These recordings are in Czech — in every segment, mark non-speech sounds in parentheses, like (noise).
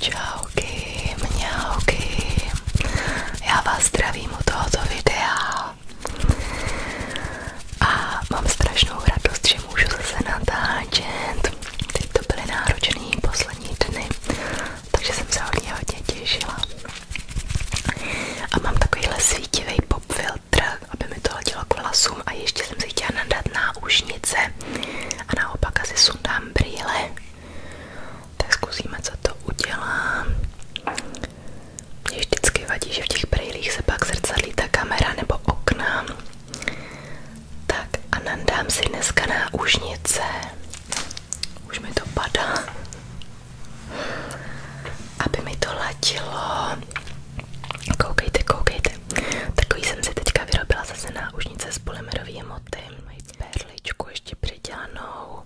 Čauky, mňauky, já vás zdravím u tohoto videa a mám strašnou radost, že můžu zase natáčet. Teď to byly náročné poslední dny, takže jsem se hodně hodně těšila. A mám takovýhle svítivý pop filtr, aby mi to hodilo k vlasům a ještě jsem si chtěla nadat náušnice a naopak asi sundám brýle. Tak zkusíme, co to udělá. Mě vždycky vadí, že v těch brýlích se pak zrcadlí ta kamera nebo okna. Tak a nandám si dneska náušnice. Už mi to padá aby mi to ladilo. Koukejte, koukejte. Takový jsem si teďka vyrobila zase náušnice z polymerový moty. Mají perličku ještě přidělanou.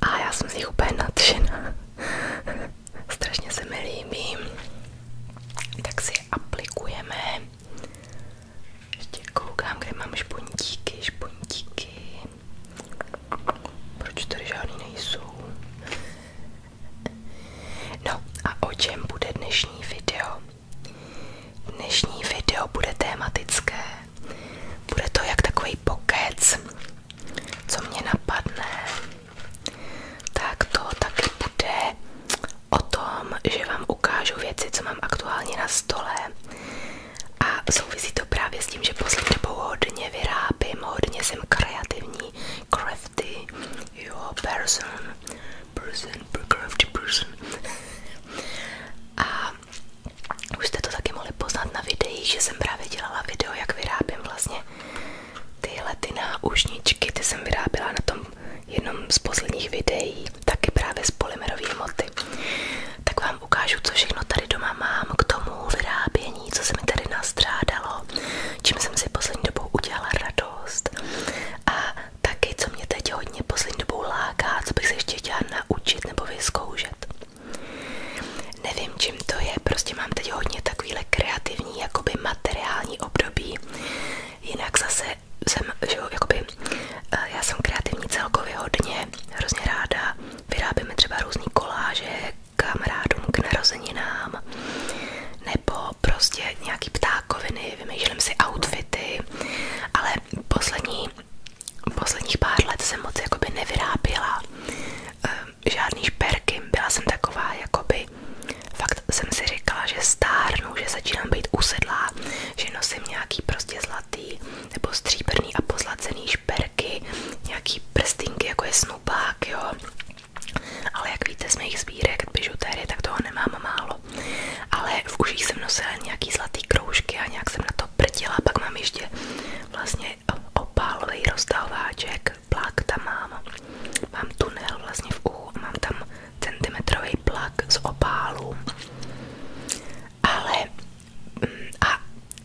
A já jsem z nich úplně nadšená. (laughs) Strašně se mi líbí. Tak si je aplikujeme. Ještě koukám, kde mám špuntíky, špuntíky. Proč tady žádný nejsou? No a o čem bude dnešní video? Dnešní video bude tématické. Bude to jak takový pokec, co mě napadne. Tak to taky bude o tom, že vám ukážu věci, co mám aktuálně na stole. A souvisí to právě s tím, že poslední dobou hodně vyrábím, hodně jsem kreativní, crafty, jo, person, person, crafty person. A už jste to taky mohli poznat na videích, že jsem právě dělala video, jak vyrábím vlastně tyhle ty náušničky, ty jsem vyráběla na tom jednom z posledních videí, taky právě z polymerový moty. Tak vám vám ukážu, co všechno tady doma mám k tomu vyrábění, co se mi tady nastřádalo, čím jsem si poslední dobou udělala radost. A taky, co mě teď hodně poslední dobou láká, co bych se ještě chtěla naučit nebo vyzkoušet. Nevím, čím to je, prostě mám teď hodně takovýhle kreativní, jakoby materiální období. Jinak zase jsem, že jakoby, eh, já jsem kreativní celkově hodně, hrozně ráda, vyrábíme třeba různý koláže, kamarádům k narozeninám, nebo prostě nějaký ptákoviny, vymýšlím si outfity, ale poslední, posledních pár let jsem moc jakoby nevyráběla eh, žádný šperky, byla jsem taková jakoby, fakt jsem si říkala, že stárnu, že začínám být usedlá, že nosím nějaký prostě zlatý nebo stříbrný a pozlacený šperky, nějaký prstinky, jako je snubák, jo. Ale jak víte z mých sbírek bižutérie, tak toho nemám málo. Ale v uších jsem nosila nějaký zlatý kroužky a nějak jsem na to prdila. Pak mám ještě vlastně opálový roztahováček, plak tam mám. Mám tunel vlastně v uchu a mám tam centimetrový plak z opálu. Ale a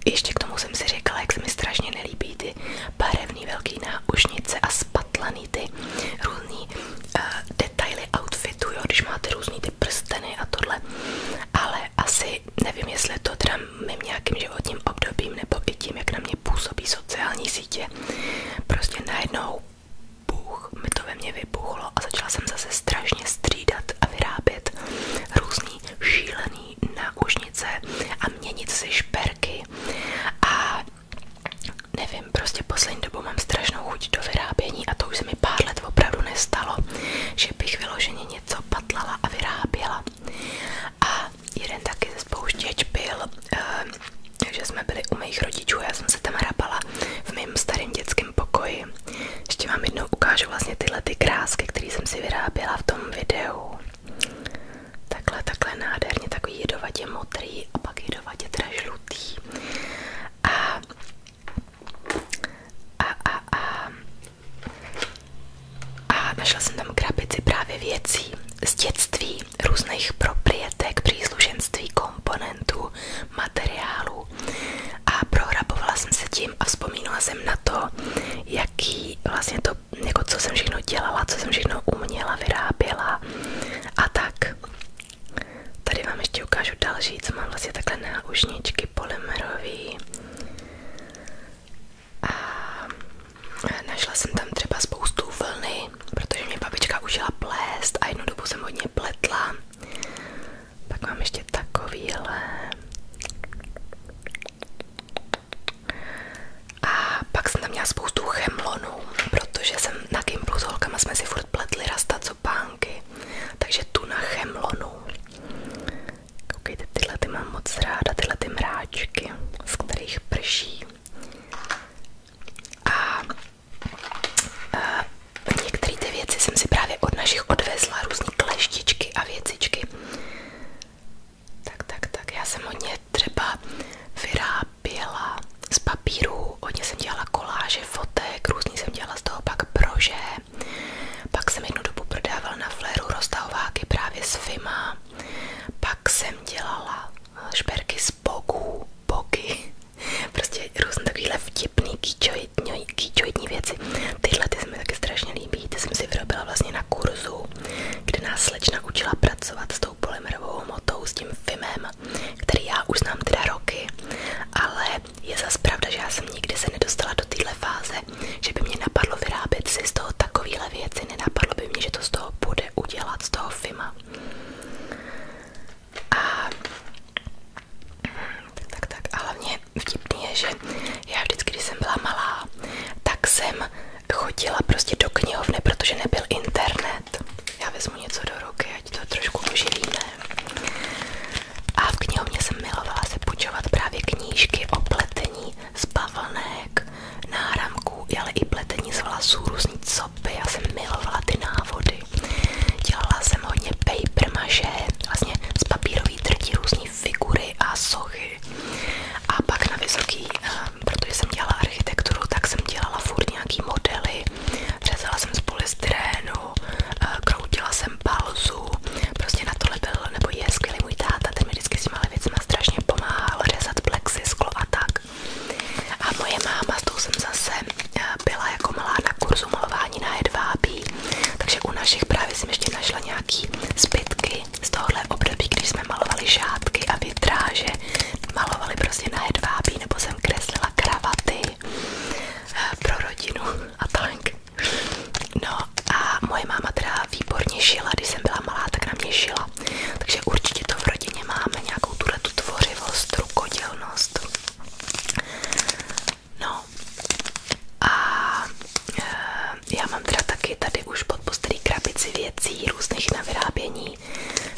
ještě k tomu jsem si říkala, jak se mi strašně nelíbí ty barevný velký náušnice a spatlaný ty různý eh, detaily outfitu, když máte různý ty prsteny a tohle. Ale asi nevím, jestli to teda mým nějakým životním obdobím nebo i tím, jak na mě působí sociální sítě. Prostě najednou Bůh, mi to ve mně vybuchlo a začala jsem zase strašně střídat a vyrábět různý šílený různý náušnice a měnit si šperky a nevím, prostě poslední dobou mám strašnou chuť do vyrábění a to už mi pár let nestalo, že bych vyloženě něco patlala a vyráběla. A jeden taky ze spouštěč byl, ehm, že jsme byli u mých rodičů, já jsem se tam hrabala v mém starém dětském pokoji. Ještě vám jednou ukážu vlastně ty krásky, které jsem si vyráběla v tom tom videu. Takhle, takhle nádherně, takový jedovatě modrý a pak jedovatě teda žlutý. A, a, a, a, a našla jsem tam krabici právě věcí z dětství, různých proprietek, příslušenství, komponentů, materiálů. A prohrabovala jsem se tím tím a vzpomínala jsem na to, jaký vlastně to, jako co jsem všechno dělala, co jsem všechno uměla, vyráběla a tak. Tady vám ještě ukážu další, co mám vlastně takhle náušničky polymerový. A našla jsem tam třeba spoustu vlny, protože mě babička užila plést a jednu dobu jsem hodně pletla. Pak mám ještě takovýhle. A pak jsem tam měla spoustu chemlonů, protože jsem na Gimplu s holkama jsme si furt pletli rasta co pánky. Takže tu na chemlonu. Koukejte, tyhle ty mám moc ráda, tyhle ty mráčky, z kterých prší. A, a některé ty věci jsem si právě od našich odvezla, různé kleštičky a věcičky. Tak, tak, tak. Já jsem hodně třeba vyráběla z papíru, hodně jsem dělala koláže, fotek, různý jsem dělala z toho pak brože. Pak jsem jednu dobu prodávala na fléru roztahováky právě s Fima. Pak jsem dělala eh, šperky z bogů, boky. (laughs) Prostě různé takovýhle vtipný kýčovitňový kýčoidní věci. Tyhle ty se mi taky strašně líbí, ty jsem si vyrobila vlastně na kurzu, kde nás slečna učila pracovat s tou polymerovou hmotou, s tím filmem, který já už znám teda roky, ale je zase pravda, že já jsem nikdy se nedostala do téhle fáze, že by mě napadlo vyrábět si z toho takovéhle věci, nenapadlo by mě, že to z toho bude udělat, z toho filma. A tak, tak, tak. A hlavně vlastně je, že já vždycky, když jsem byla malá, tak jsem chodila prostě do knihovny, protože nebyl internet. Já vezmu něco do ruky, ať to trošku oživíme. A v knihovně jsem milovala se počovat právě knížky o pletení z bavlnek, ale i pletení z vlasů, různý copy. jsem milovala ty návody. Dělala jsem hodně paper maže, vlastně z papírový drtí různé figury a sochy Čechy. A pak na vysoký, ehm, protože jsem dělala architekturu, tak jsem dělala furt nějaký modely, řezala jsem z polystyrénu, eh, kroutila jsem palzu, prostě na tohle byl, nebo je skvělý můj táta, ten mi vždycky s těma věcma strašně pomáhal, řezat plexisklo a tak. A moje máma, s tou jsem zase eh, byla jako malá na kurzu malování na hedvábí takže u našich právě jsem ještě našla nějaký zbytky z tohohle období, když jsme malovali žádky a vitráže, malovali prostě na hedvábí, nebo jsem kreslila kravaty eh, pro rodinu a tak. No a moje máma teda výborně šila, když jsem byla malá, tak na mě šila. Takže určitě to v rodině máme, nějakou tuhletu tvořivost, rukodělnost. No a eh, já mám teda taky tady už pod postelí krabici věcí různých na vyrábění,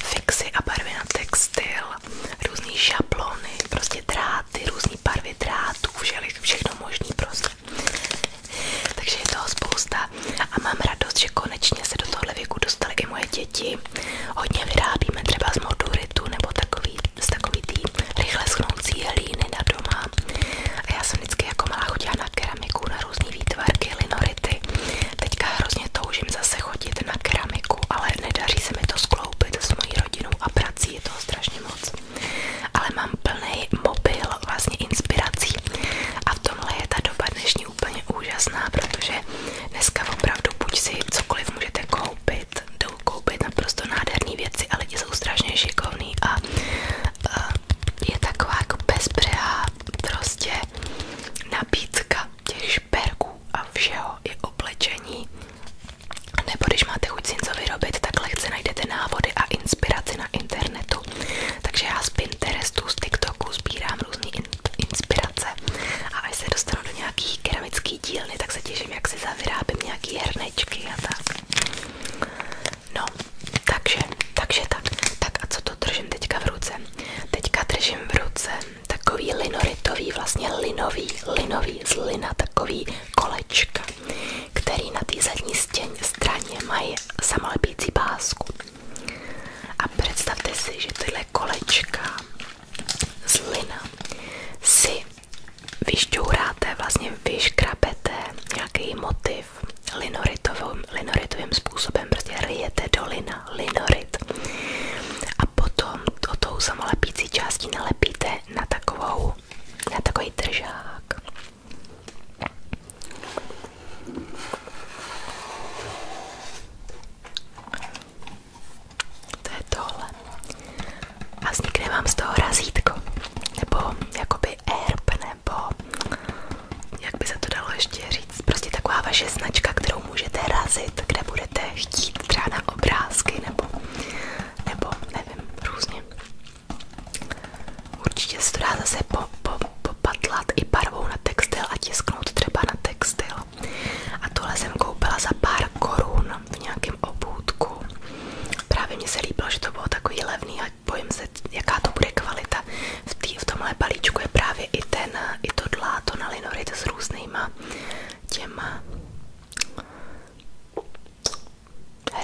fixy a barvy textil, různý šablony, prostě dráty, různý barvy drátů, všechno možný prostě. Takže je toho spousta a mám radost, že konečně se do tohle věku dostaly i moje děti. Hodně vyrábíme třeba z moduritu nebo takový, z takový tý rychle schnoucí hlíny na doma. A já jsem vždycky jako malá chodila na keramiku, na různé výtvarky, linority. Teďka hrozně toužím zase chodit na keramiku, ale nedaří se mi to skloubit s mojí rodinou a prací, je toho strašně moc. Ale mám plný mobil vlastně inspirací. A v tomhle je ta doba dnešní úplně úžasná, protože dneska opravdu buď si cokoliv můžete koupit, jdou koupit naprosto nádherné věci a lidi jsou strašně šikovný a, a je taková jako bezbřehá prostě nabídka těch šperků a všeho i oblečení. Nebo když máte chuť si něco vyrobit, tak lehce najdete návody a inspiraci na internetu. Takže já z Pinterestu, z TikToku sbírám různé in inspirace a až se dostanu do nějaký keramický dílny, tak se těším, jak si zavyrábím nějaký hernečky a tak. No, takže, takže tak. Tak a co to držím teďka v ruce? Teďka držím v ruce takový linoritový, vlastně linový, linový z lina, takový kolečka, který na té zadní stěně, straně mají samolepící pásku. A představte si, že tyhle kolečka z lina si vyšťouráte, vlastně vyškrabete nějaký motiv linoritovým, linoritovým způsobem, prostě ryjete do lina, linorit a potom o tou samolepící částí nalepíte na takovou, na takový držák. To je tohle a vznikne vám z toho razítko, nebo jakoby erb, nebo jak by se to dalo ještě říct, prostě taková vaše značka, kterou můžete razit, kde budete chtít třeba na obrázky, nebo, nebo nevím, různě. Určitě se to dá zase po, po, popatlat i barvou na textil a tisknout třeba na textil. A tohle jsem koupila za pár korun v nějakém obůdku. Právě mně se líbilo, že to bylo takový levný a bojím se, jaká to bude kvalita. V, tý, v tomhle balíčku je právě i ten, i to dláto na linorit s různýma těma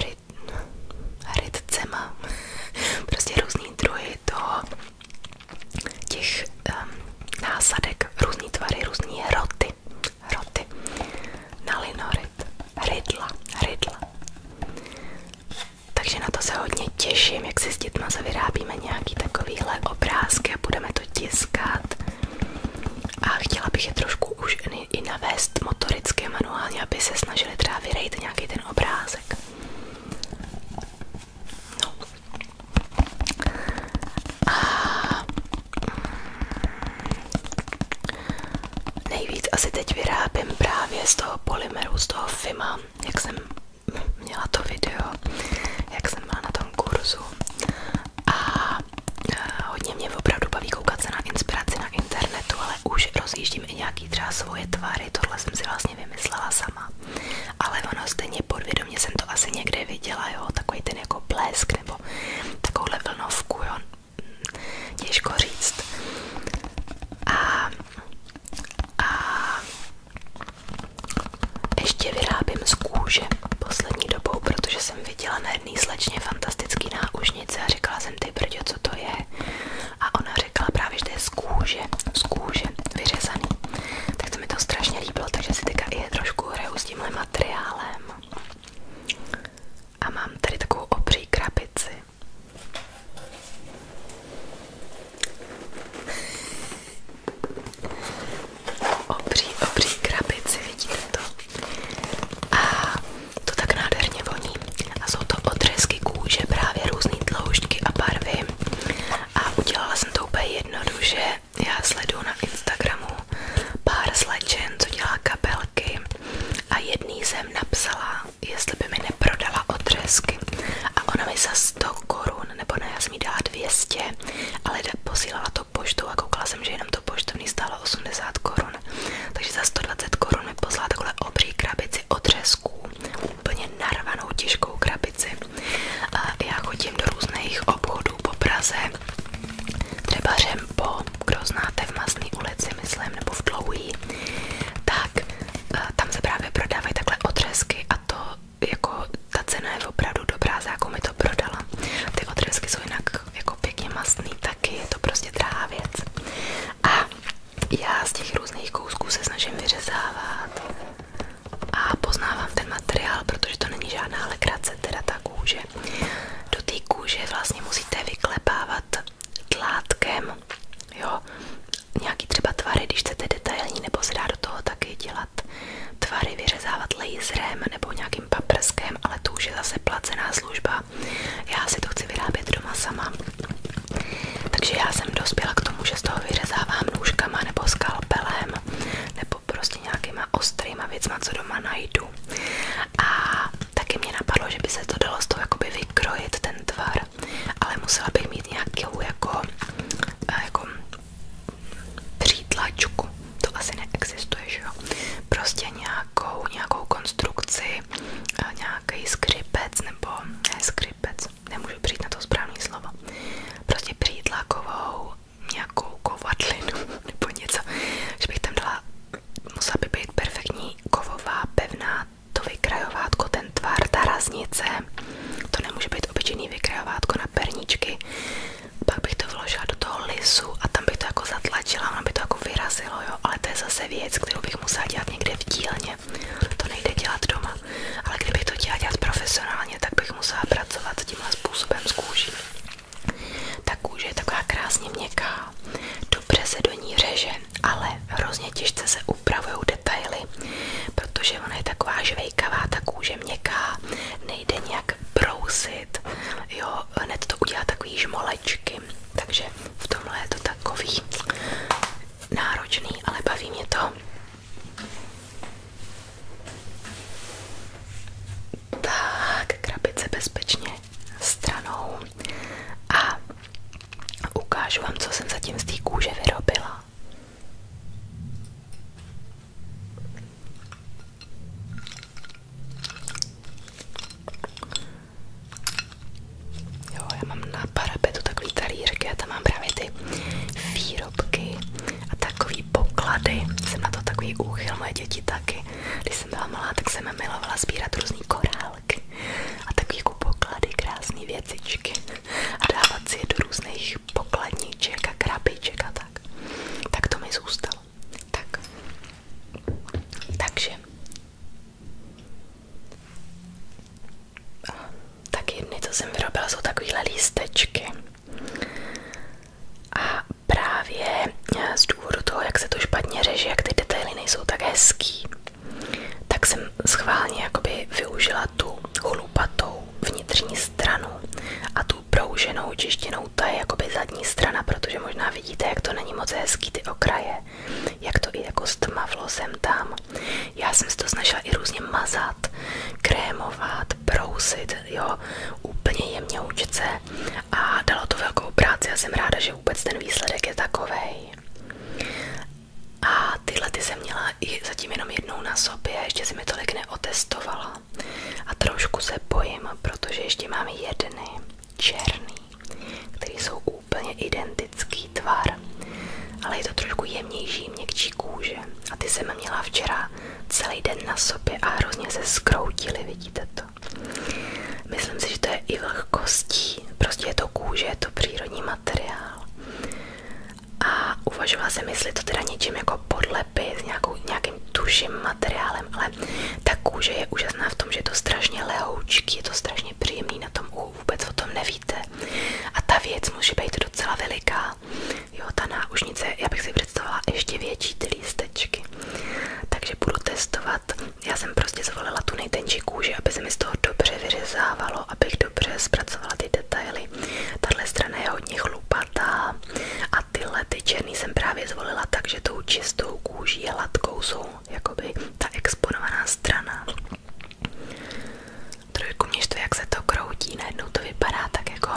ryt, rytcema, (laughs) prostě různý druhy toho těch um, násadek, různý tvary, různý hroty hroty, nalinorit, rydla, rydla. Takže na to se hodně těším, jak si s dětma vyrábíme nějaký takovýhle obrázky a budeme to tiskat. A chtěla bych je trošku už i navést motoricky manuálně, aby se snažili třeba vyrejt nějaký ten obrázek. No. A... Nejvíc asi teď vyrábím právě z toho polymeru, z toho FIMA, jak jsem měla to video, jak jsem byla na tom kurzu. A eh, hodně mě opravdu baví koukat se na inspiraci na internetu, ale už rozjíždím i nějaký třeba svoje tvary, tohle jsem si vlastně vymyslela sama. Ale ono stejně podvědomě jsem to asi někde viděla, jo, takový ten jako blesk nebo takovouhle vlnovku, jo, těžko říct. A, a ještě vyrábím z kůže poslední dobou, protože jsem viděla na jedné slečně fantastický náušnice a říkala jsem ty brďo, co to je. A ona řekla právě, že to je z kůže, z kůže vyřezaný. Tak to mi to strašně líbilo, takže si teďka i je trošku hraju s tímhle materiálem a mám tady takovou obří krabici. (laughs) Obří, obří krabici, vidíte to? A to tak nádherně voní. A jsou to odřezky kůže, právě různé tloušťky a barvy. A udělala jsem to úplně jednoduše. Já sleduju na Instagramu pár slečen, co dělá kapelky a jedný jsem napsala, jestli by mi neprodala odřezky a ona mi za 100 korun, nebo ne, já jsem jí dala 200, ale posílala to poštou a koukala jsem, že jenom to poštovní stálo 80 korun, takže za 120 korun mi poslala takhle obří krabici odřezků, úplně narvanou těžkou krabici. A já chodím do různých obchodů po Praze třeba Řempo, kdo znáte v Masné myslím, nebo v Dlouhý, tak eh, tam se prodávají takhle otřesky a to jako ta cena je opravdu dobrá, za jakou mi to prodala. Ty otřesky jsou jinak jako pěkně masný, taky je to prostě drahá věc. A já z těch různých kousků se snažím vyřezávat a poznávám ten materiál, protože to není žádná legrace, teda ta do té kůže vlastně musíte vyklepávat tlátkem, jo, nějaký třeba tvary, když chcete detailní, nebo se dá do toho taky dělat tvary, vyřezávat laserem nebo nějakým paprskem, ale to zase placená služba. Já si to chci vyrábět doma sama. Takže já jsem dospěla k tomu, z toho vyřezávám nůžkama nebo skalpelem, nebo prostě nějakýma ostrýma věcma, co doma najdu tvaru. A taky mě napadlo, že by se to dalo z toho jakoby vykrojit ten tvar, ale musela bych mít nějakou jako, eh, jako přítlačku. To asi neexistuje, že jo? Prostě nějakou, nějakou konstrukci, eh, nějaký skrypec nebo ne skrypec, nemůžu přijít na to správný slovo. Prostě přítlakovou nějakou kovadlinu (laughs) nebo něco, že bych tam dala musela by být perfektní kovová, pevná, to vykrajovátko, ten tvar, ta raznice, to nemůže být obyčejný vykrajovátko na perničky. Pak bych to vložila do toho lisu a tam bych to jako zatlačila, ono by to jako vyrazilo, jo, ale to je zase věc, kterou bych musela dělat někde v dílně. To nejde dělat doma, ale kdybych to dělala dělat profesionálně, tak bych musela pracovat tímhle způsobem s kůží. Ta kůže je taková krásně měkká, dobře se do ní řeže, ale hrozně těžce se upravují detaily, protože ona je taková žvejkavá, ta kůže měkká, nejde nějak brousit, jo, hned to udělá takový žmolečky, takže v tomhle je to takový náročný, ale baví mě to. Tak, krabice bezpečně stranou a ukážu vám, co jsem zatím z té kůže vyrobila. Jo, já mám na parapetu takový talířky a tam mám právě ty výrobky a takový poklady. Jsem na to takový úchyl, moje děti taky. Když jsem byla malá, tak jsem milovala sbírat různý korálky a taky jako poklady, krásné věcičky a dávat si je do různých pokladníček a krabiček a tak. Tak to mi zůstalo. Tak. Takže. tak jedny, co jsem vyrobila, jsou takovýhle lístečky. A právě eh, z důvodu toho, jak se to špatně řeže, jak ty detaily nejsou tak hezký, tak jsem schválně jakoby využila tu holupatou vnitřní stranu a tu prouženou čištěnou, ta je jakoby zadní strana, protože možná vidíte, jak to není moc hezký ty okraje, jak to i jako stmavlo sem tam. Já jsem si to snažila i různě mazat, krémovat, brousit, jo, úplně jemně učit a dalo to velkou práci a jsem ráda, že vůbec ten výsledek je takovej. A tyhle ty jsem měla i zatím jenom jednou na sobě, ještě jsem mi tolik neotestovala. A trošku se bojím, protože ještě mám jedny černý, který jsou úplně identický tvar, ale je to trošku jemnější, měkčí kůže. A ty jsem měla včera celý den na sobě a hrozně se skroutily, vidíte to. Myslím si, že to je i vlhkostí, prostě je to kůže, je to přírodní materiál. A uvažovala jsem, jestli to teda něčím jako podlepy s nějakou, nějakým tuším materiálem, ale ta kůže je úžasná v tom, že je to strašně lehoučký, je to strašně příjemný na tom uhu, vůbec o tom nevíte. A ta věc může být docela veliká. Jo, ta náušnice, já bych si představila ještě větší ty lístečky. Takže budu testovat já jsem prostě zvolila tu nejtenčí kůži, aby se mi z toho dobře vyřezávalo, abych dobře zpracovala ty detaily. Tahle strana je hodně chlupatá a tyhle ty černý jsem právě zvolila tak, že tou čistou kůží hladkou jsou jakoby ta exponovaná strana. Trošku mě to, jak se to kroutí, najednou to vypadá tak jako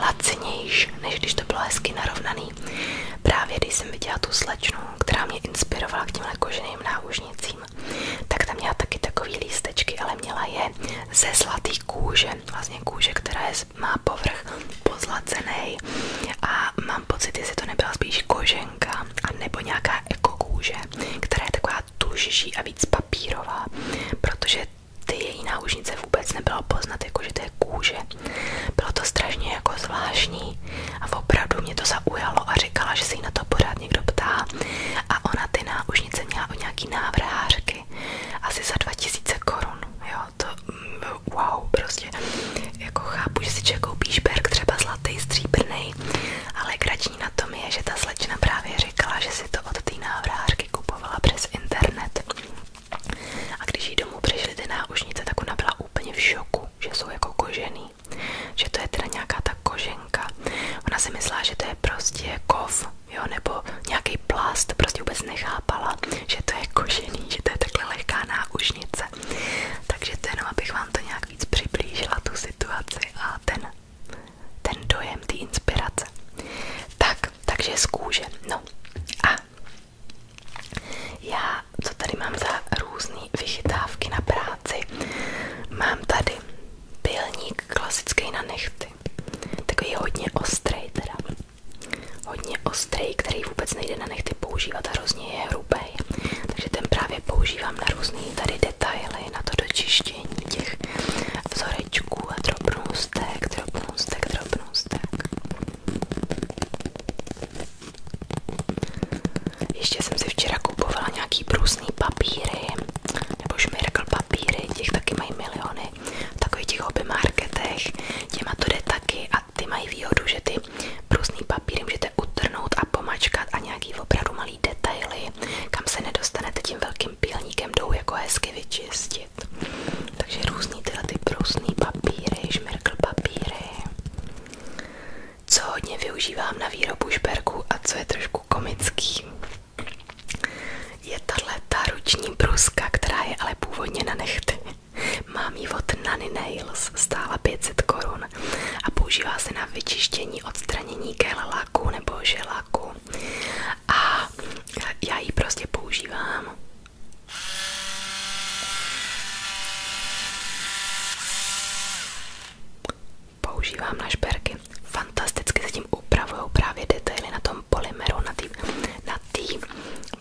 lacinější, než když to bylo hezky narovnaný krásný. jsem viděla tu slečnu, která mě inspirovala k těmhle koženým náušnicím, tak tam měla taky takový lístečky, ale měla je ze zlatý kůže, vlastně kůže, která je, má povrch pozlacený a mám pocit, jestli to nebyla spíš koženka a nebo nějaká ekokůže, která je taková tužší a víc papírová, protože ty náušnice vůbec nebylo poznat, jakože to kůže, bylo to strašně jako zvláštní a opravdu mě to zaujalo a říkala, že se jí na to pořád někdo ptá a ona ty náušnice měla o nějaký návrhářky asi za 2000 korun, jo, to mm, wow, prostě jako chápu, že si člověk koupí třeba zlatý, stříbrný, ale grační na tom je, že ta slečna právě říkala, že si to od té návrhářky kupovala přes internet a když jí domů přišly ty náušnice, tak ona byla úplně v šoku, že jsou jako kožený. Že to je teda nějaká ta koženka. Ona si myslela, že to je prostě kov, jo, nebo nějaký plast, prostě vůbec nechápala, že to je kožený, že to je takhle lehká náušnice. Takže to jenom, abych vám to nějak víc přiblížila, tu situaci a ten, ten dojem, ty inspirace. Tak, takže z kůže. No a já, co tady mám za různé vychytávky na práci, mám tady pilník klasický na nechty. Takový hodně ostrý teda. Hodně ostrý, který vůbec nejde na nechty používat, hrozně je hrubý. Takže ten právě používám na různé tady detaily, na to dočištění těch vzorečků a drobnůstek, drobnůstek, drobnůstek. Ještě jsem si včera kupovala nějaký brusný papíry, nebo šmirkl papíry, těch taky mají miliony. V takových těch hobby marketech, těma to jde taky a ty mají výhodu, že ty brusný papíry můžete utrhnout a pomačkat a nějaký opravdu malý detaily, kam se nedostanete tím velkým pilníkem, jdou jako hezky vyčistit. Takže různý tyhle ty brusný papíry, šmirkl papíry. Co hodně využívám na výrobu šperků a co je trošku komický, je tahle ta ruční bruska, která je ale původně na nechty. Mám ji od Nanny Nails, stála 500 korun a používá se na vyčištění, odstranění laku nebo želáku. A já ji prostě používám Používám na šperky. Fantasticky se tím upravují právě detaily na tom polymeru, na té na tý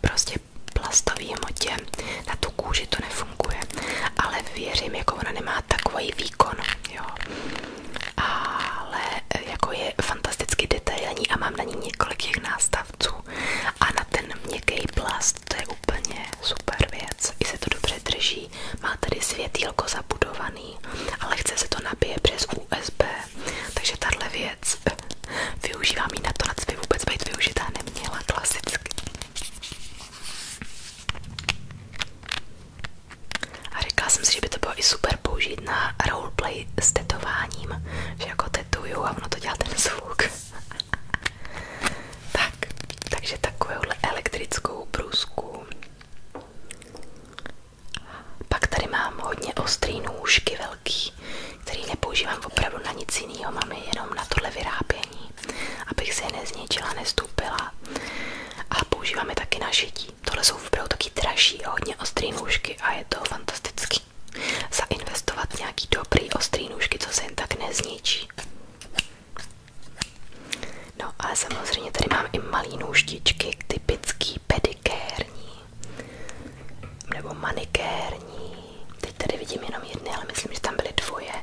prostě plastové hmotě. Na tu kůži to nefunguje, ale věřím, jako ona nemá takový výkon, jo. Ale eh, jako je fantasticky detailní a mám na ní několik těch nástav a na ten měkký plast to je úplně super věc, i se to dobře drží, má tady světýlko zabudovaný, ale chce se to nabije přes USB, takže tahle věc eh, využívám ji na to, na co by vůbec být neměla klasicky. A říkala jsem si, že by to bylo i super použít na roleplay s tetováním, že jako tetuju a ono to dělá ten zvuk tak, takže takovouhle elektrickou brusku. Pak tady mám hodně ostrý nůžky velký, který nepoužívám opravdu na nic jiného, mám jenom na tohle vyrábění, abych se je nezničila, nestupila. A používáme taky na šití. Tohle jsou opravdu taky dražší, hodně ostrý nůžky a je to fantastické hezký. Zainvestovat nějaký dobrý ostrý nůžky, co se jen tak nezničí. No a samozřejmě tady mám i malý nůžtičky, typický pedikérní nebo manikérní. Teď tady vidím jenom jedny, ale myslím, že tam byly dvoje.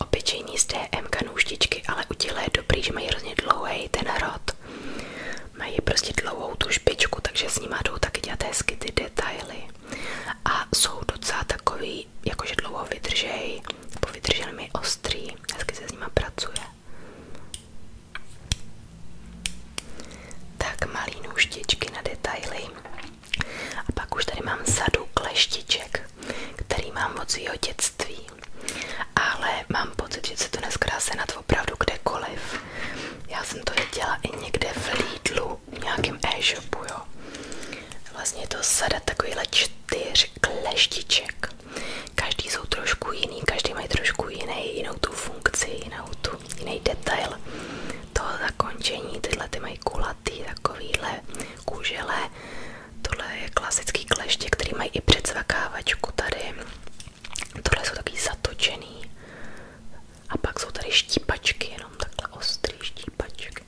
Obyčejný z DMK nůžtičky, ale u těchto je dobrý, že mají hrozně dlouhý ten rod. Mají prostě dlouhou tu špičku, takže s nima jdou taky dělat hezky ty detaily a jsou docela jakože dlouho vydržej, po vydržel mi ostrý, hezky se s nima Tak malý nůžtičky na detaily. A pak už tady mám sadu kleštiček, který mám od svého dětství. Ale mám pocit, že se to dneska dá senat opravdu kdekoliv. Já jsem to viděla i někde v Lidlu, nějakém e-shopu, jo. Vlastně to sada takovýhle čtyř kleštiček. Každý jsou trošku jiný, každý mají trošku jiný, jinou tu funkci, jinou tu, jiný detail toho zakončení. Tyhle ty mají kulatý, takovýhle kůžele. Tohle je klasický kleště, který mají i předsvakávačku tady. Tohle jsou taky zatočený a pak jsou tady štípačky, jenom takhle ostrý štípačky.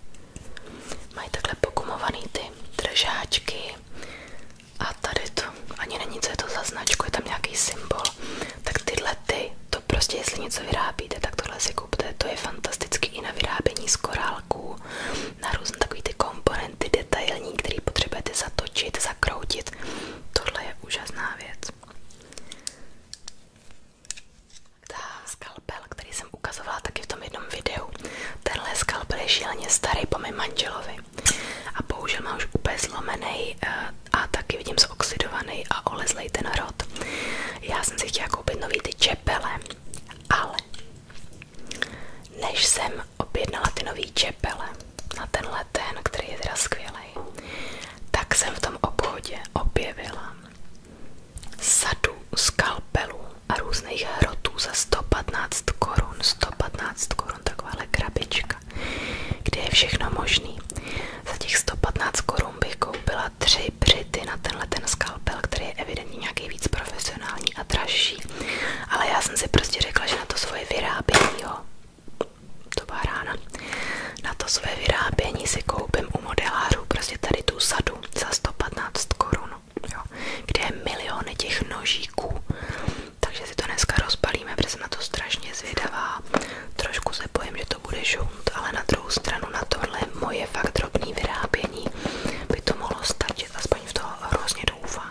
Mají takhle pogumovaný ty držáčky. A tady to ani není, co je to za značku, je tam nějaký symbol. Tak tyhle ty, to prostě jestli něco vyrábíte, tak tohle si kupte. To je fantastický i na vyrábění z korálků, na různé takové ty komponenty detailní, které potřebujete zatočit, zakroutit. Tohle je úžasná věc. Ta skalpel, který jsem ukazovala taky v tom jednom videu, tenhle skalpel je šíleně starý po mém manželovi a použil má už úplně zlomený eh, a taky vidím zoxidovaný a olezlej ten rod. Já jsem si chtěla koupit nový ty čepele, ale než jsem objednala ty nový čepele na tenhle ten, který je teda skvělý, dělají, tak jsem v tom obchodě objevila sadu skalpelů a různých hrotů za 115 korun, 115 korun, takováhle krabička, kde je všechno možný. Za těch 115 korun bych koupila tři přity na tenhle ten skalpel, který je evidentně nějaký víc profesionální a dražší, ale já jsem si prostě řekla, že na to svoje vyrábění, jo, to byla rána. Na to své vyrábění si koupím u modelářů prostě tady tu sadu za 115 korun, jo, kde je miliony těch nožíků. Takže si to dneska rozbalíme, protože jsem na to strašně zvědavá. Trošku se bojím, že to bude žunt, ale na druhou stranu na tohle moje fakt drobné vyrábění by to mohlo stačit, aspoň v toho hrozně doufám.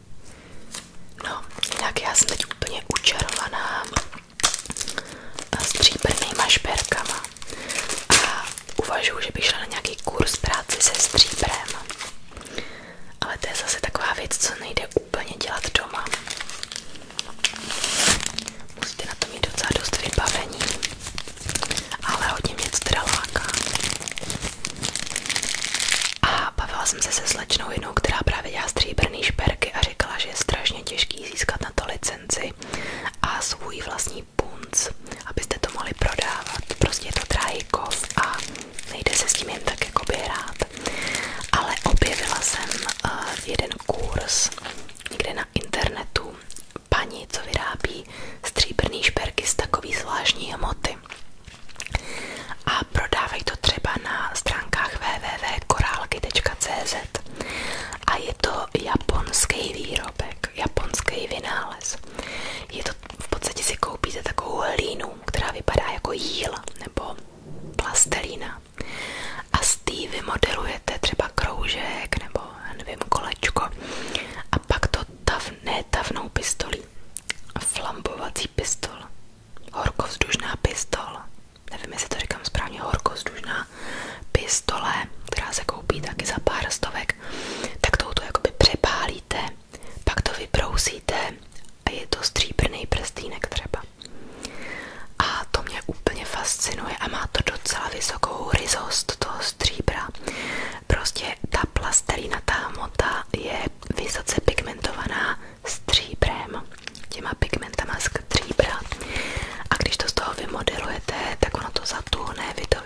No, jinak já jsem teď úplně učarovaná stříbrnýma šperkama a uvažuji, že bych šla na nějaký kurz práci se stříbrem. Ale to je zase taková věc, co nejde úplně dělat doma. Musíte na to mít docela dost vybavení, ale hodně mě to teda láká. A bavila jsem se se slečnou jednou, která právě dělá stříbrný šperky a říkala, že je strašně těžký získat na to licenci a svůj vlastní punc, abyste to mohli prodávat. Prostě je to drahý kov a nejde se s tím jen tak jakoby hrát. Ale objevila jsem uh, jeden kurz někde na internetu paní, co vyrábí stříbrný šperky z takový zvláštní hmoty a prodávají to třeba na stránkách www.korálky.cz a je to japonský výrobek, japonský vynález. Je to v podstatě si koupíte takovou hlínu, která vypadá jako jíl nebo plastelína a z té vymodelujete třeba kroužek nebo nevím, kolečko a pak to tav, ne tavnou pistolí, flambovací pistol horkovzdušná pistol. Nevím, jestli to říkám správně, horkovzdušná pistole, která se koupí taky za pár stovek, tak jako by přepálíte, pak to vybrousíte a je to stříbrný prstínek třeba. A to mě úplně fascinuje a má to docela vysokou ryzost toho stříbra. Prostě ta plastelina, ta hmota je vysoce pigmentovaná stříbrem, těma pigmentama stříbra. A když to z vymodelujete, tak to zatuhne, vy to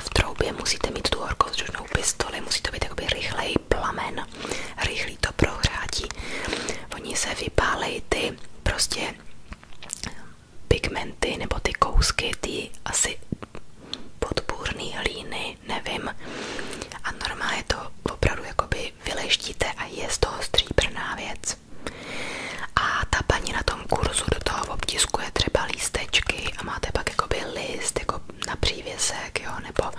v troubě, musíte mít tu horkou vzdušnou pistoli, musí rychlej plamen, rychlý to prohrátí. Oni se vypálejí prostě pigmenty nebo ty kousky, ty asi podpůrné hlíny nevím. A normálně to opravdu jakoby vyleštíte a je z toho stříbrná věc. A ta paní na tom kurzu do toho obtiskuje třeba lístečky a máte pak jakoby list jako na přívěsek, jo, nebo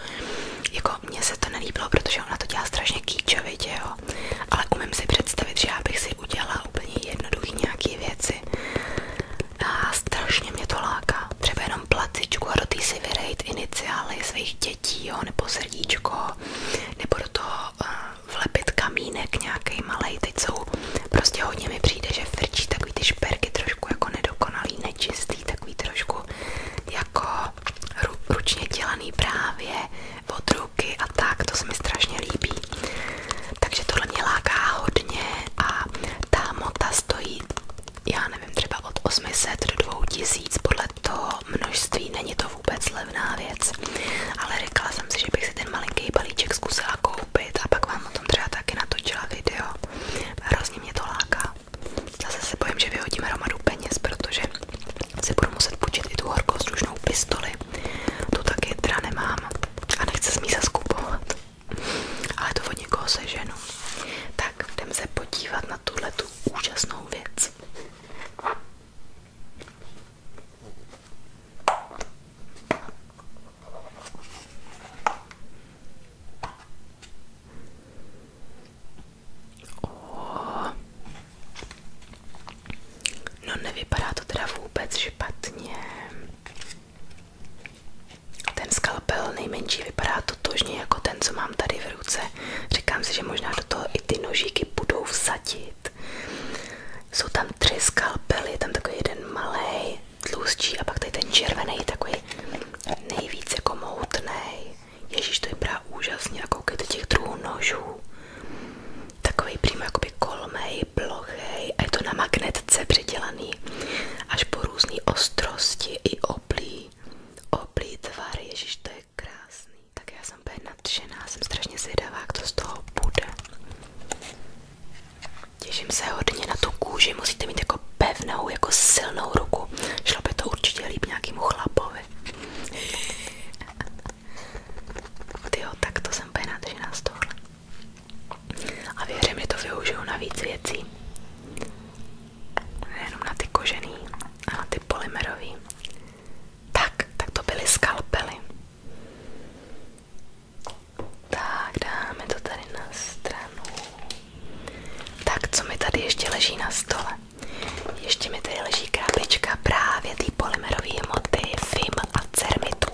jako mně se to nelíbilo, protože ona to dělá strašně kýčovitě, jo, ale umím si představit, že já bych si udělala úplně jednoduchý nějaký věci a strašně mě to láká, třeba jenom jenom placičku a do té si vyrejt iniciály svých dětí, jo, nebo srdíčko, nebo do toho uh, vlepit kamínek nějaký malej. Teď jsou prostě hodně mi přijde, že frčí takový ty šperky trošku jako nedokonalý, nečistý, takový trošku jako ru, ručně dělaný právě od ruky a tak, to se mi strašně líbí. Takže tohle mě láká hodně a ta mota stojí já nevím, třeba od 800 do 2000, podle toho množství není to vůbec levná věc, ale řekla jsem si, že bych si ten malinký balíček zkusila koupit a pak vám o tom třeba taky natočila video. Hrozně mě to láká. Zase se bojím, že vyhodím hromadu peněz, protože si budu muset půjčit i tu horkoslužnou pistoli. Tu taky teda nemám a nechci s ní zaskupovat. Ale to od někoho seženu. Ano. Tak jdeme se podívat na tuhle tu úžasnou věc. Oh. No nevypadá to teda vůbec špatně. Ten skalpel nejmenší vypadá totožně jako ten, co mám tady v ruce. Říkám si, že možná do toho i ty nožíky budou vsadit. Jsou tam tři skalpely, tam takový jeden malý, tlustší a pak tady ten červený, takový nejvíc jako moutnej. Ježíš, to vypadá úžasně a koukejte těch druhů nožů. Takový přímo by kolmej, plochej a je to na magnetce předělaný až po různé ostrosti i oblí takový oblý tvar, ježiš, to je krásný. Tak já jsem úplně nadšená, jsem strašně zvědavá, jak to z toho bude. Těším se hodně na tu kůži, musíte mít jako pevnou, jako silnou ruku. Šlo by to určitě líp nějakému chlapovi. (laughs) Tyjo, tak to jsem úplně nadšená z tohle. A věřím, že to využiju na víc věcí nejenom na ty kožený a na ty polymerový. Tak, tak to byly skalpely. Tak, dáme to tady na stranu. Tak, co mi tady ještě leží na stole? Ještě mi tady leží krabička právě ty polymerové hmoty FIM a cermitů.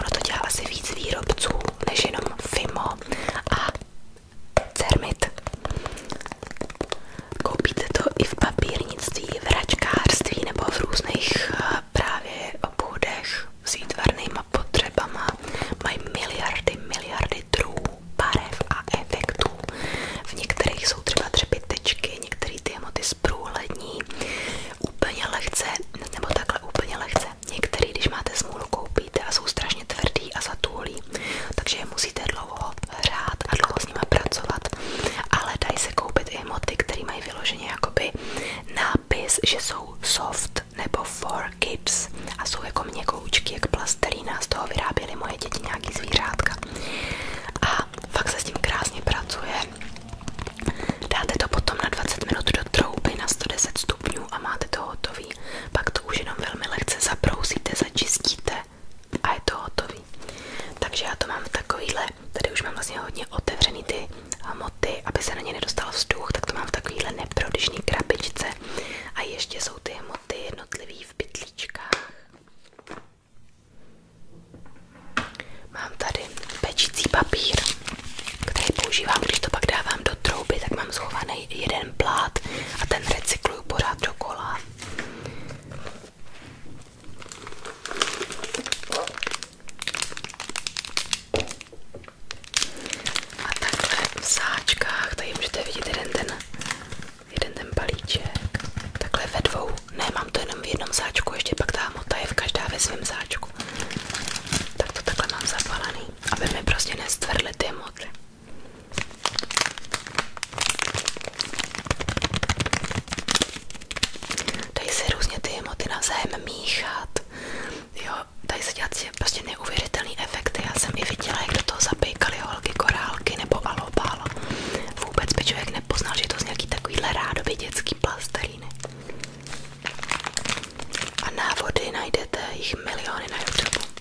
Ono to dělá asi víc výrobců než jenom FIMO a cermit. Koupíte to i v papírnictví, v hračkářství nebo v různých eh, právě obchodech s výtvarnýma potřebama. Mají miliardy, miliardy druhů, barev a efektů. V některých jsou třeba třepitečky, některé ty emoty zprůhlední, úplně lehce, nebo takhle úplně lehce. Některý, když máte smůlu, koupíte a jsou strašně tvrdý a zatůlí, takže je musíte dlouho hrát a dlouho s nimi pracovat. Ale dají se koupit i moty, které mají vyloženě jakoby nápis, že jsou soft nebo for kids a jsou jako měkoučky, jak plastelína, z toho vyráběly moje děti nějaký zvířátka. A fakt se s tím krásně pracuje. Dáte to potom na 20 minut do trouby na 110 stupňů a máte to hotový. Pak to už velmi lehce zabrousíte, začistíte a je to hotový. Takže já to mám v takovýhle, tady už mám vlastně hodně otevřený ty aby se na ně nedostal vzduch, tak mám v takovýhle neprodyšný krabičce. A ještě jsou ty hmoty jednotlivý v pytlíčkách. Mám tady pečící papír, který používám, když to pak dávám do trouby, tak mám schovaný jeden jeden plát a ten recykluju pořád do kola A takhle v sáčkách, tady můžete vidět jeden ten, jeden ten balíček, takhle ve dvou, ne, mám to jenom v jednom sáčku, ještě pak ta mota je v každá ve svém sáčku. Tak to takhle mám zapalený, aby mi prostě nestvrdly ty moty. Dají se různě ty emoty navzájem míchat. Jo, dají se dělat prostě neuvěřitelný efekty. Já jsem i viděla, jak do toho zapejkaly holky, korálky nebo alobal. Vůbec by člověk nepoznal, že je to z nějaký takovýhle rádoby dětský plasteríny. A návody najdete jich miliony na YouTube.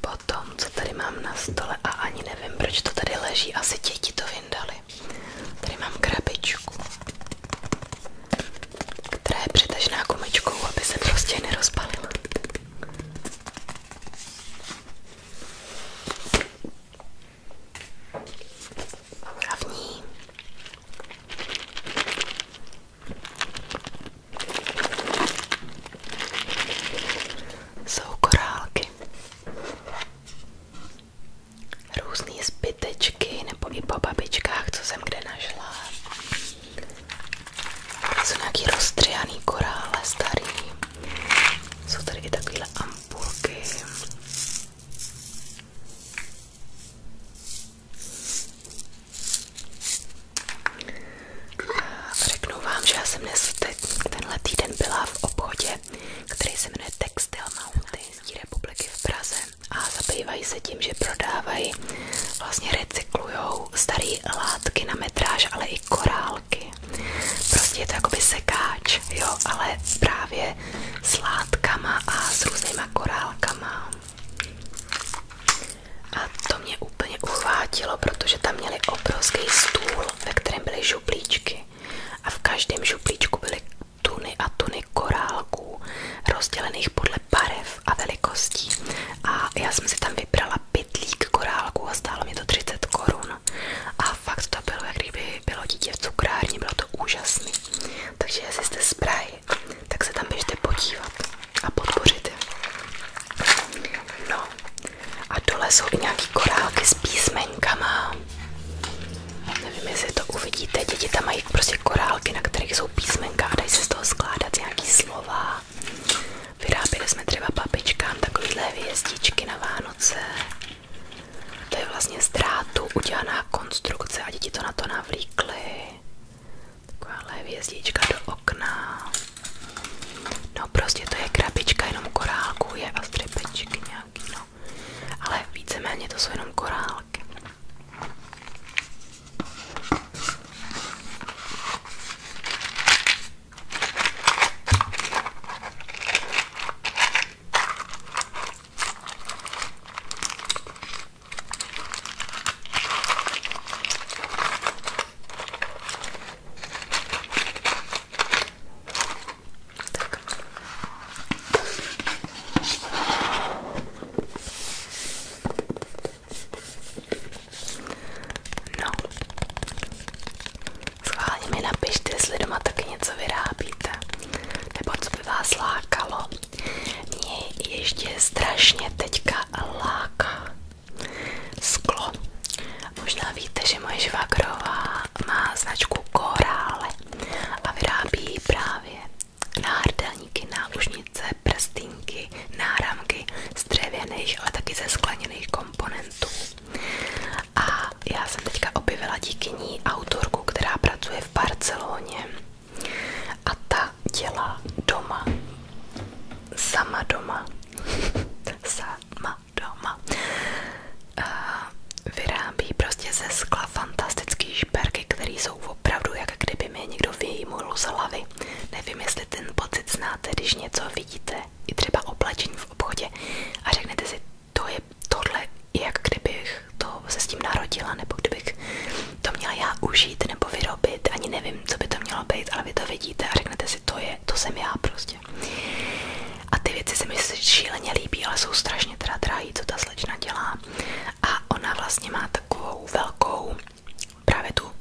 Potom, co tady mám na stole a ani nevím, proč to tady leží, asi děti to vyndali. Tady mám krabičku, která je přitažená gumičkou, aby se prostě nerozpalila. A v ní jsou korálky. Různé zbytečky nebo i po babičkách, co jsem kde našla. Jsou nějaký rozstřihaný korále starý. Jsou tady i takovéhle ampulky. Řeknu vám, že já jsem dnes tenhle týden byla v obchodě, který se jmenuje Textil Mountain z republiky v Praze a zabývají se tím, že prodávají, vlastně recyklujou staré látky na metráž, ale i korálky. Prostě je to jakoby sekáč, jo, ale právě s látkama a s různýma korálkama. A to mě úplně uchvátilo, protože tam měli obrovský stůl, ve kterém byly župlíčky. A v každém župlíčku byly tuny a tuny korálků, rozdělených podle barev a velikostí. A já jsem si tam vybrala pytlík korálků a stálo mi to 30 korun. A fakt to bylo, jak kdyby bylo dítě v cukrárně, bylo to úžasný. Takže jestli jste z Prahy, tak se tam běžte podívat a podpořit je. No, a dole jsou i nějaký korálky s písmenkama. Nevím, jestli to uvidíte. Děti tam mají prostě korálky, na kterých jsou písmenka a dají se z toho skládat nějaký slova. Vyráběli jsme třeba babičkám takovýhle hvězdičky na Vánoce. To je vlastně z drátu udělaná konstrukce a děti to na to navlíkly. Takováhle hvězdička do okna. No prostě to je krabička jenom korálků, je a střepečky nějaký, no. Ale víceméně to jsou jenom korálky. Tak. No. Schválně mi napište, jestli doma taky něco vyrábíte. Nebo co by vás lákalo. Mě ještě strašně teďka láká sklo. Možná víte, že moje žvakrová má značku Korále a vyrábí právě náhrdelníky, náušnice, prstínky, náramky z dřevěných, ale taky ze skleněných komponentů. A já jsem teďka objevila díky ní autorku, která pracuje v Barceloně a ta dělá doma sama doma. (laughs) sama doma. Eh, vyrábí prostě ze skla fantastický šperky, které jsou opravdu jak kdyby mě někdo vyjímul z Nevím, jestli ten pocit znáte, když něco vidíte, i třeba oblečení v obchodě a řeknete si, to je tohle, jak kdybych to se s nebo kdybych to měla já užít najít nebo vyrobit, ani nevím, co by to mělo být, ale vy to vidíte a řeknete si, to je, to jsem já prostě. A ty věci se mi šíleně líbí, ale jsou strašně teda drahý, co ta slečna dělá. A ona vlastně má takovou velkou, právě tu,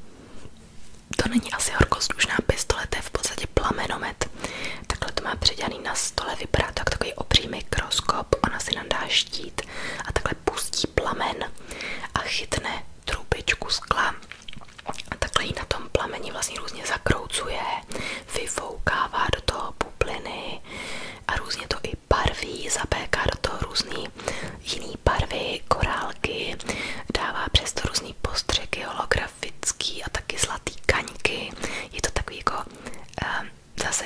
to není asi horkoslušná pistole, to je v podstatě plamenomet. Takhle to má předělaný na stole, vypadá tak takový obří mikroskop, ona si nadá štít a takhle pustí plamen a chytne trubičku skla takhle ji na tom plameni vlastně různě zakroucuje, vyfoukává do toho bubliny a různě to i barví, zapéká do toho různý jiný barvy, korálky, dává přes to různý postřeky holografický a taky zlatý kaňky. Je to takový jako um, zase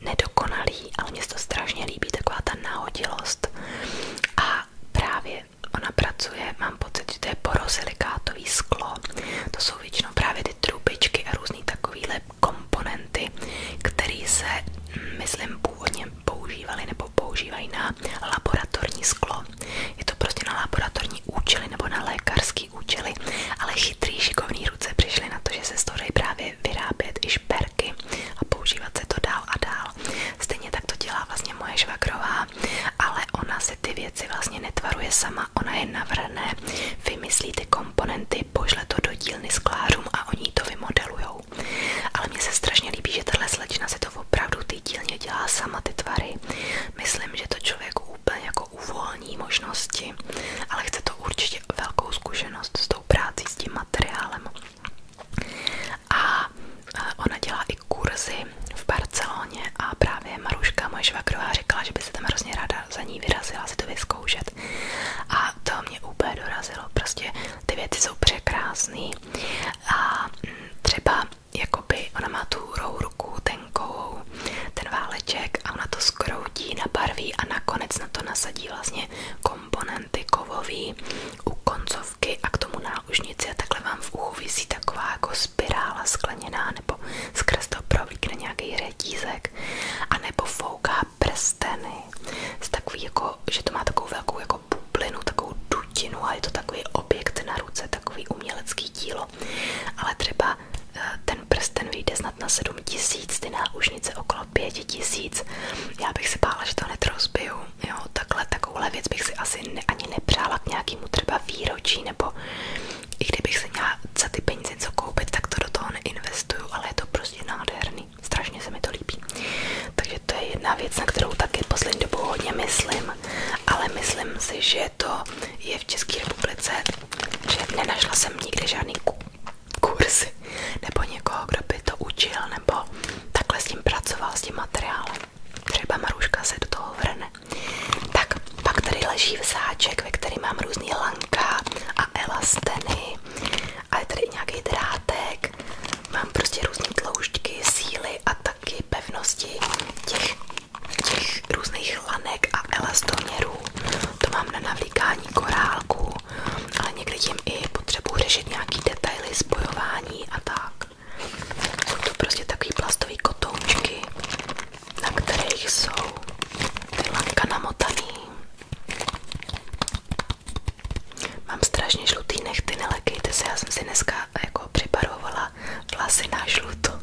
nedokonalý, ale mě se to strašně líbí, taková ta náhodilost. A právě ona pracuje, mám pocit, že to je porosilikátový sklo. To jsou většinou právě ty trubičky a různý takovýhle komponenty, které se, myslím, původně používaly nebo používají na laboratorní sklo. Je to prostě na laboratorní účely nebo na lékařský účely, ale chytrý šikovní ruce přišly na to, že se z toho právě vyrábět i šperky a používat se to dál a dál dál. Stejně tak to dělá vlastně moje žvakrová, ale ona si ty věci vlastně netvaruje sama, ona je navrhne, vymyslí ty komponenty, pošle to do dílny sklářům a oni to vymodelujou. Ale mně se strašně líbí, že tahle slečna si to opravdu ty dílně dělá sama ty tvary. Myslím, že to člověk úplně jako uvolní možnosti, ale chce to určitě velkou zkušenost s tou práci, s tím materiálem. A ona dělá i ty kurzy v Barceloně a právě Maruška, moje švakrová, říkala, že by se tam hrozně ráda za ní vyrazila si to vyzkoušet. A to mě úplně dorazilo, prostě ty věci jsou překrásné. A mm, třeba jakoby ona má tu rouruku, ten kou, ten váleček a ona to skroutí, nabarví a nakonec na to nasadí vlastně komponenty kovový u koncov sázky a k tomu náušnici a takhle vám v uchu visí taková jako spirála skleněná nebo skrz to provlíkne nějaký redízek a nebo fouká prsteny s takový jako, že to má takovou velkou jako bublinu, takovou dutinu a je to takový objekt na ruce, takový umělecký dílo, ale třeba eh, ten prsten vyjde snad na 7 tisíc, ty náušnice okolo 5 tisíc. Já bych se bála, že to netrozbiju jo, takhle takovouhle věc bych si asi ne, ani nepřála k nějakému třeba výročí, nebo i kdybych si měla za ty peníze něco koupit, tak to do toho neinvestuju, ale je to prostě nádherný, strašně se mi to líbí. Takže to je jedna věc, na kterou taky poslední dobou hodně myslím, ale myslím si, že to je v České republice, že nenašla jsem nikdy žádný kurzy, nebo někoho, kdo by to učil, nebo takhle s tím pracoval, s tím materiálem třeba Maruška se do toho vrne. Tak pak tady leží vsáček, ve kterém mám různý lanka a elasteny a je tady i nějaký drátek, mám prostě různé tloušťky, síly a taky pevnosti těch, těch různých lanek a elastoměrů. To mám na navlíkání korálku, ale někdy tím i potřebuji řešit nějaký detaily, spojování a tak. Jsou to prostě takový plastový kotoučky, na kterých jsou ty lanka namotaný. Mám strašně žlutý nechty, nelekejte se, já jsem si dneska jako připarovala vlasy na žluto,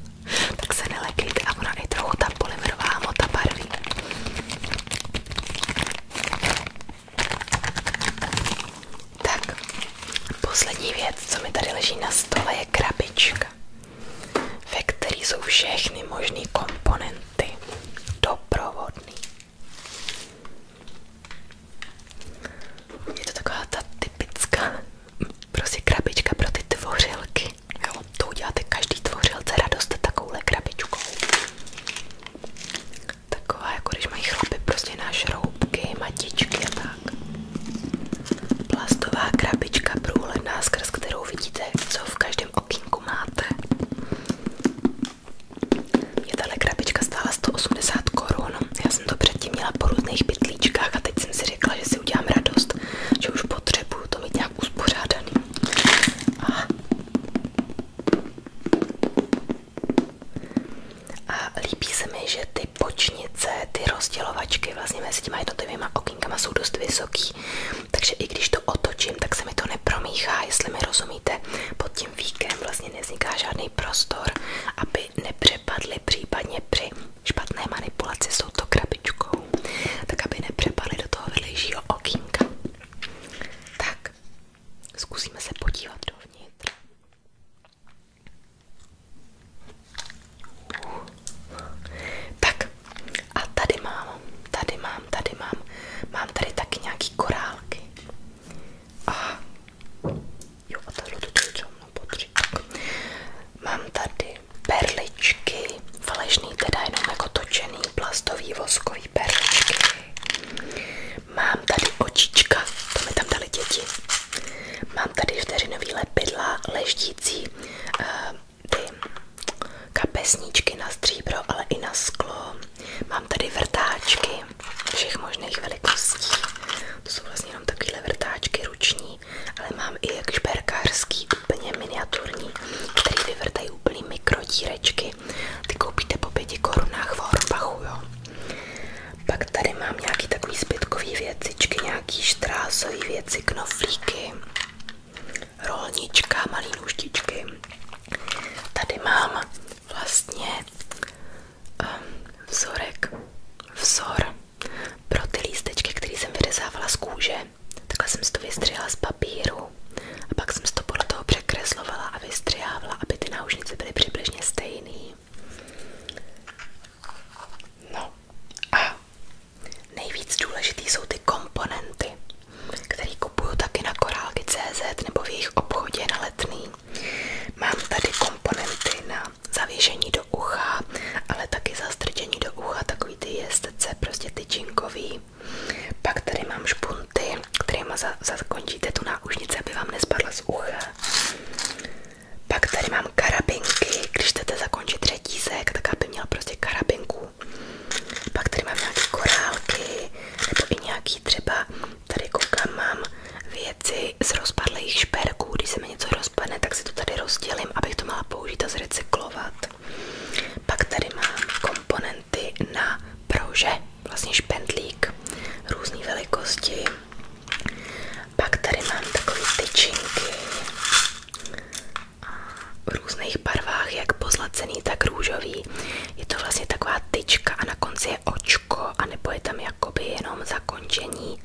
tak se nelekejte a ona i trochu ta polymerová hmota barví. Tak, poslední věc, co mi tady leží na stole, je krabička, ve které jsou všechny možné komponenty doprovodný. Je to taková ta typická prostě krabička pro ty tvořilky. Jo, to uděláte každý tvořilce radost takovouhle krabičkou. Taková, jako když mají chlapy prostě na šroubky, matičky a tak. Plastová krabička průhledná, skrz kterou vidíte, co v každém okýnku máte. Mě tahle krabička stála 180 korun. Já jsem to předtím měla po různých pytlíčkách a teď jsem si řekla, že si udělám radost, že už potřebuju to mít nějak uspořádaný. Aha. A líbí se mi, že ty počnice, ty rozdělovačky vlastně mezi těma jednotlivýma okýnkama jsou dost vysoký, takže i když to otočím, tak se mi to nepromíchá, jestli mi rozumíte. Pod tím víkem vlastně nevzniká žádný prostor, aby nepřepadly případně při špatné manipulaci s touto krabičkou, tak aby nepřepadly do toho vedlejšího okýnka. Tak, zkusíme se podívat dovnitř. Tak a tady mám, tady mám, tady mám, mám tady taky nějaký korálky. A jo, a tohle to co mnou Mám tady perličky, falešný teda jenom jako točený plastový voskový perličky. Mám tady očička, to mi tam dali děti. Mám tady vteřinový lepidla, leštící uh, eh, ty kapesníčky na stříbro, ale i na sklo. Mám tady vrtáčky všech možných velikostí. To jsou vlastně jenom takovéhle vrtáčky ruční, ale mám i jak šperkářský, úplně miniaturní, který vyvrtají úplný mikrodírečky. Ty koupíte po pěti korunách v Hornbachu, jo. Pak tady mám nějaký takový zbytkový věcičky, nějaký štrásový věci, knoflíky, rolnička, malý nůžtičky. Tady mám vlastně um, vzorek, vzor pro ty lístečky, který jsem vyřezávala z kůže. Takhle jsem si to vystřihla z papíru a pak jsem si to podle toho překreslovala a vystřihávala, aby ty náušnice byly přibližně stejné krásný. No a nejvíc důležitý jsou ty komponenty, které kupuju taky na korálky.cz nebo v jejich obchodě na letný. Mám tady komponenty na zavěšení do ucha, ale taky zastrčení do ucha, takový ty jestece, prostě tyčinkový. Pak tady mám špunty, kterýma zakončíte tu náušnici, aby vám nespadla z ucha. Pak tady mám karabinky, když chcete zakončit řetízek, tak aby měl prostě karabinku. Pak tady mám nějaké korálky, nebo i nějaký třeba, tady koukám, mám věci z rozpadlých šperků, když se mi něco rozpadne, tak si to tady rozdělím, abych to měla použít a zrecyklovat. Pak tady mám komponenty na prouže, vlastně špendlík, různé velikosti. Pak tady mám takové tyčinky v různých barvách, jak pozlacený, tak růžový. Je to vlastně taková tyčka a na konci je očko, anebo je tam jakoby jenom zakončení.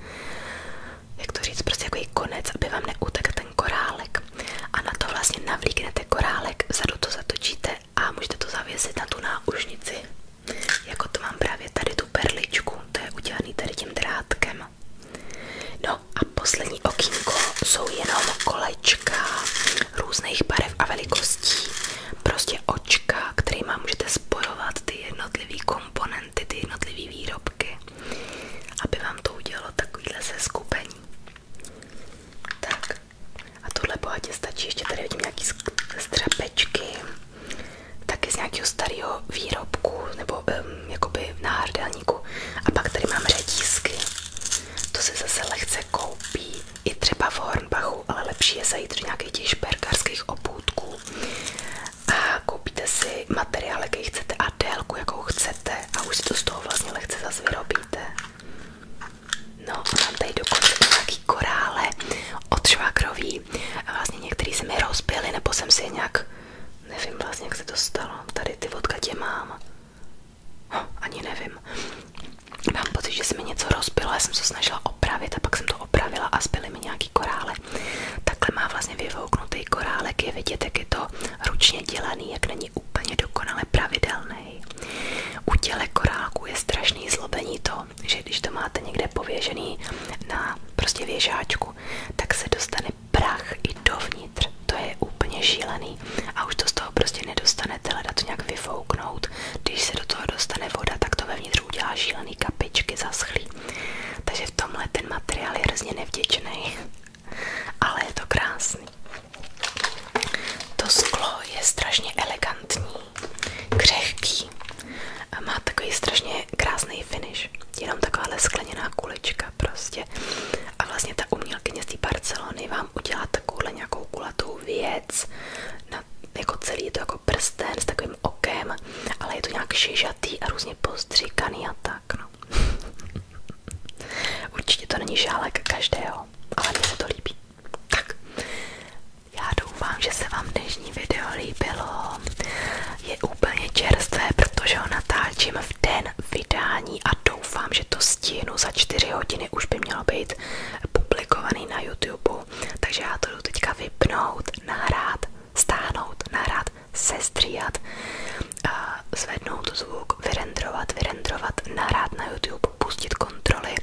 Jak to říct, prostě jako konec, aby vám neutekl ten korálek. A na to vlastně navlíknete korálek, vzadu to zatočíte a můžete to zavěsit na tu náušnici. Jako to mám právě tady tu perličku, to je udělaný tady tím drátkem. No a poslední okýnko jsou jenom kolečka různých barev a velikostí. Prostě očka, kterýma můžete spojovat ty jednotlivý komponenty, ty jednotlivý výrobky, aby vám to udělalo takovýhle seskupení. Tak, a tohle bohatě stačí, ještě tady vidím nějaký střepečky, taky z nějakého starého výrobku nebo um, jakoby náhrdelníku. A pak tady mám ředízky, to se zase lehce koupí, i třeba v Hornbachu, ale lepší je zajít do nějakých těch šperkarských obůdků a koupíte si materiál, jaký chcete a délku, jakou chcete a už si to z toho vlastně lehce zase vyrobíte. No, mám tady dokonce nějaký korále od švagrový. A vlastně některý se mi rozbily, nebo jsem si je nějak, nevím vlastně, jak se to stalo. Tady ty odkud je mám. Ho, ani nevím. Mám pocit, že se mi něco rozbilo, já jsem se snažila opravit a pak jsem to opravila a zbyly mi nějaký korále. Takhle má vlastně vyvouknutý korálek, je vidět, jak je to ručně dělaný, jak není úplně dokonale pravidelný. U těle korálku je strašný zlobení to, že když to máte někde pověžený na prostě věžáčku, tak se dostane prach i dovnitř. To je úplně šílený a už to z toho prostě nedostanete, leda to nějak vyfouknout. Když se do toho dostane voda, tak to vevnitř udělá šílený kapičky zaschlí. Takže v tomhle ten materiál je hrozně nevděčný, (laughs) ale je to krásný. To sklo je strašně elegantní křehký a má takový strašně krásný finish. Jenom takováhle skleněná kulička prostě. A vlastně ta umělkyně z té Barcelony vám udělá takovouhle nějakou kulatou věc. Na, jako celý to jako prsten s takovým okem, ale je to nějak šižatý a různě postříkaný a tak. No. (laughs) Určitě to není žálek každého, ale mně se to líbí. Tak, já doufám, že se vám dnešní video líbilo. Je úplně čerstvé, protože ho natáčím v den vydání a doufám, že to stihnu za 4 hodiny, už by mělo být publikovaný na YouTube. Takže já to jdu teďka vypnout, nahrát, stáhnout, nahrát, sestříhat, zvednout zvuk, vyrendrovat, vyrendrovat, nahrát na YouTube, pustit kontroly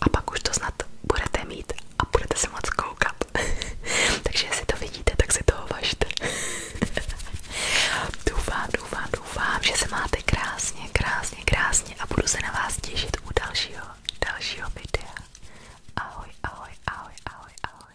a pak už to snad budete mít a budete se moc koukat. (laughs) Takže jestli to vidíte, tak si toho važte. (laughs) doufám, doufám, doufám, že se máte krásně, krásně, krásně a budu se na vás těšit u dalšího, dalšího videa. Ahoj, ahoj, ahoj, ahoj, ahoj.